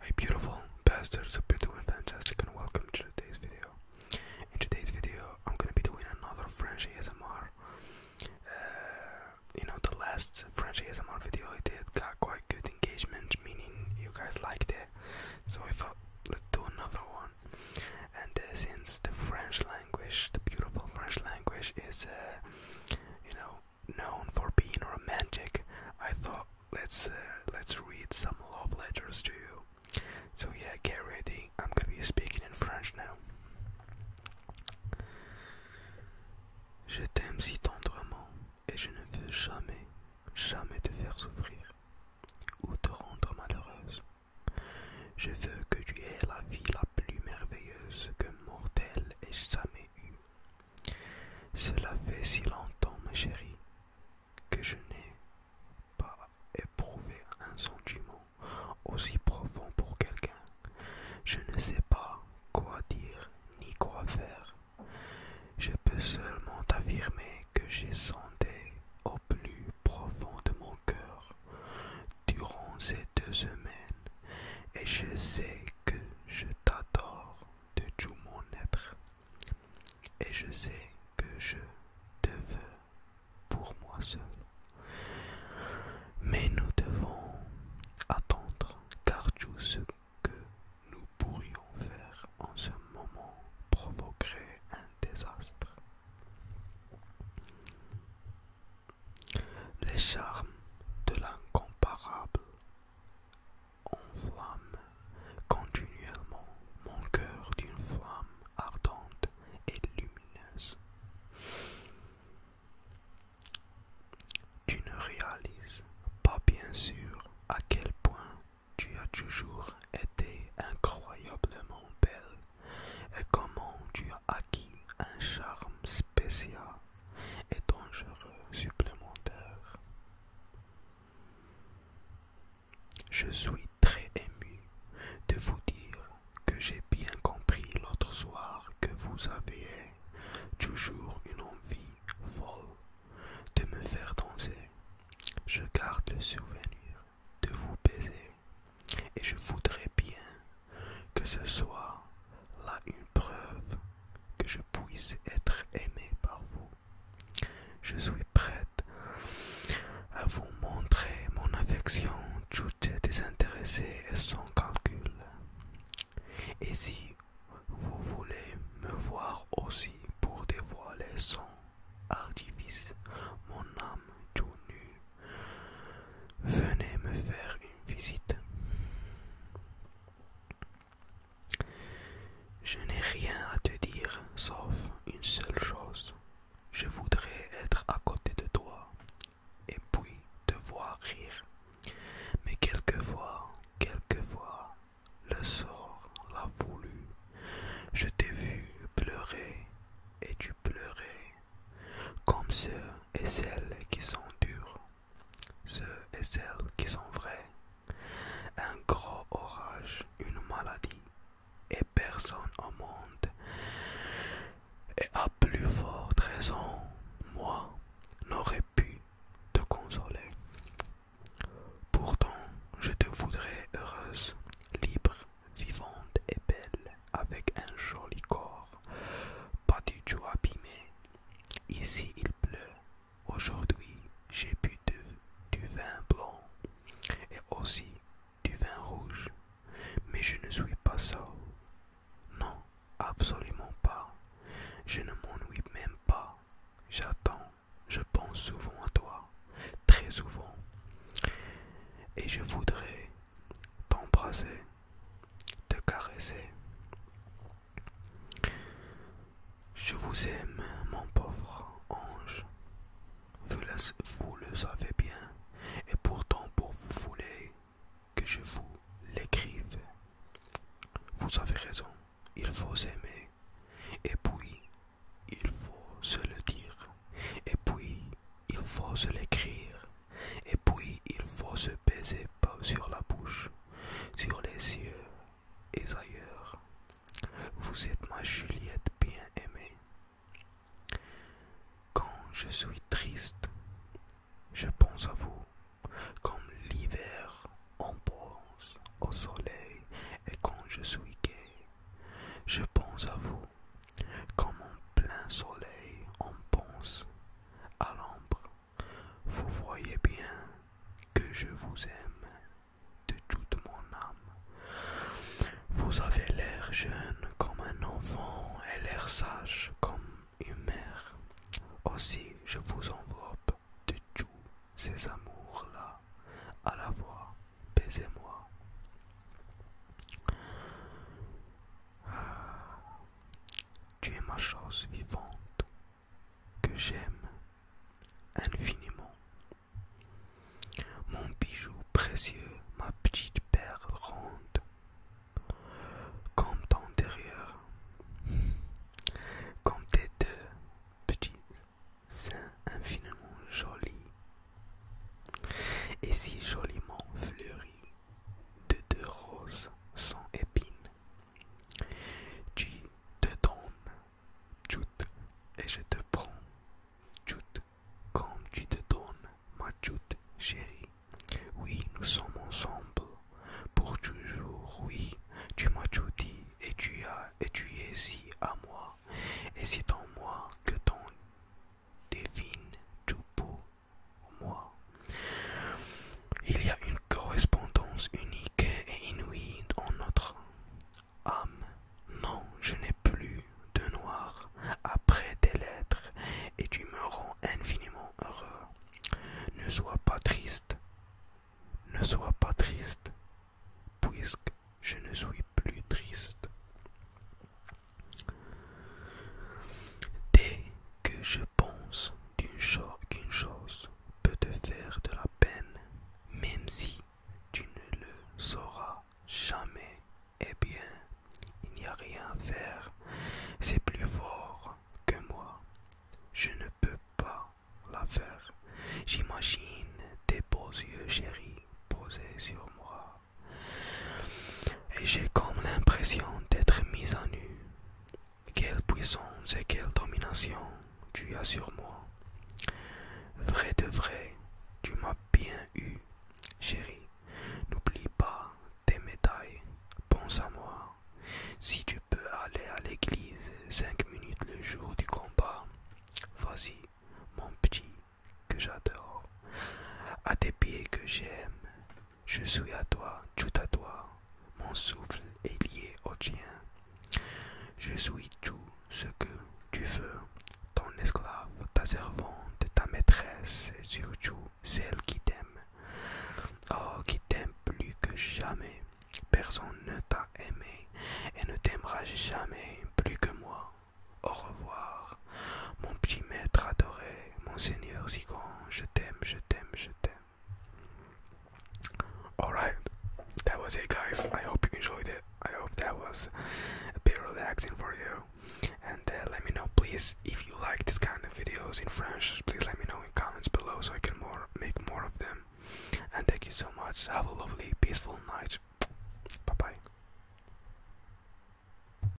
Hey beautiful bastards, hope you doing fantastic and welcome to today's video. In today's video I'm gonna be doing another French ASMR. Uh, you know the last French ASMR video I did got quite good engagement, meaning you guys liked it. So I thought let's do another one. And uh, since the French language, the beautiful French language is uh, you know known for being romantic, I thought let's uh, let's read some love letters to you. So yeah, get ready. I'm gonna be speaking in French now. Je t'aime si tendrement et je ne veux jamais, jamais te faire souffrir ou te rendre malheureuse. Je veux que tu aies la vie la plus merveilleuse que mortel ait jamais eue. Cela fait si longtemps, ma chérie, que je n'ai pas éprouvé un sentiment aussi profond pour quelqu'un. Je ne sais pas quoi dire ni quoi faire. Je peux seulement affirmer que j'ai senti au plus profond de mon cœur durant ces deux semaines et je sais que je t'adore de tout mon être et je sais que je te veux pour moi seul. Mais nous devons attendre car tout ce que nous pourrions faire en ce moment provoquerait un désastre. Les charmes de l'incomparable flamme, continuellement mon cœur d'une flamme ardente et lumineuse. Tu ne réalises pas bien sûr à quel point tu as toujours été incroyablement belle et comment tu as acquis un charme spécial et dangereux supplémentaires. Je suis très ému de vous dire que j'ai bien compris l'autre soir que vous aviez toujours une envie folle de me faire danser. Je garde le souvenir de vous baiser et je voudrais bien que ce soit là une preuve que je puisse être aimé par vous. Je suis prête à vous montrer mon affection toute désintéressée et sans calcul. Et si vous voulez me voir aussi pour dévoiler sans artifice, mon âme tout nue, venez me faire une visite. Je n'ai rien à te dire, sauf une seule chose. Je voudrais être à côté de toi et puis te voir rire. Mais quelquefois, quelquefois, le sort l'a voulu. Je t'ai vu pleurer et tu pleurais, comme ceux et celles qui sont durs ceux et celles qui sont vrais. Un gros orage, une maladie, et personne au monde. Et à plus forte raison, moi n'aurais pu te consoler. Pourtant, je te voudrais heureuse, libre, vivante et belle, avec un joli corps, pas du tout abîmé, Ici il pleut. Aujourd'hui j'ai bu du vin blanc et aussi du vin rouge. Mais je ne suis pas seul. Non, absolument pas. Je ne m'ennuie même pas. J'attends. Je pense souvent à toi. Très souvent. Et je voudrais t'embrasser de caresser. Je vous aime, mon pauvre ange. Vous le, savez bien, et pourtant vous voulez que je vous l'écrive. Vous avez raison, il faut aimer, et puis il faut se le dire, et puis il faut se l'écrire. Et puis il faut se baiser sur la bouche, sur les yeux et ailleurs. Vous êtes ma Juliette bien aimée. Quand je suis triste, je pense à vous, comme l'hiver on pense au soleil, et quand je suis gai, je pense à vous, comme en plein soleil on pense à l'ombre, vous voyez bien que je vous aime de toute mon âme. Vous avez l'air jeune comme un enfant et l'air sage comme une mère. Aussi, je vous enveloppe de tous ces amours-là à la voix, baisez-moi. Ah. Tu es ma chose vivante que j'aime infiniment. Mon bijou précieux, ma petite perle ronde, comme ton derrière, comme tes deux petits seins infiniment jolis et si joliment fleuris de deux roses sans épines. Tu te donnes, tout et je te prends, tout comme tu te donnes, ma toute chérie. Oui, nous sommes ensemble pour toujours. Oui, tu m'as tout dit et tu as et tu es si à moi. Et c'est en moi que ton divine tout beau moi. Il y a une correspondance unique et inouïe en notre âme. Non, je n'ai plus de noir après tes lettres et tu me rends infiniment heureux. Ne sois pas triste, ne sois pas triste, puisque je ne suis plus triste. Dès que je pense qu'une chose, chose peut te faire de la peine, même si tu ne le sauras jamais, eh bien, il n'y a rien à faire. C'est plus fort que moi. Je ne peux pas la faire. J'imagine tes beaux yeux chéris posés sur moi et j'ai comme l'impression d'être mise en nu. Quelle puissance et quelle domination tu as sur moi. Vrai de vrai, tu m'as bien eu, chérie. N'oublie pas tes médailles. Pense à moi. Si tu peux aller à l'église cinq minutes le jour du combat, vas-y, mon petit, que j'adore. À tes pieds que j'aime, je suis à toi, tout à toi. Mon souffle est lié au tien. Je suis tout ce que tu veux, ton esclave, ta servante, ta maîtresse et surtout celle qui t'aime. Oh, qui t'aime plus que jamais. Personne ne t'a aimé et ne t'aimera jamais plus que moi. Au revoir. Mon petit maître adoré, mon seigneur Zigon, je t'aime, je t'aime, je t'aime. Alright, that was it, guys. I hope you enjoyed it. I hope that was a bit relaxing for you. And uh, let me know, please, if you like this kind of videos in French. Please let me know in comments below so I can more make more of them. And thank you so much. Have a lovely, peaceful night. Bye bye.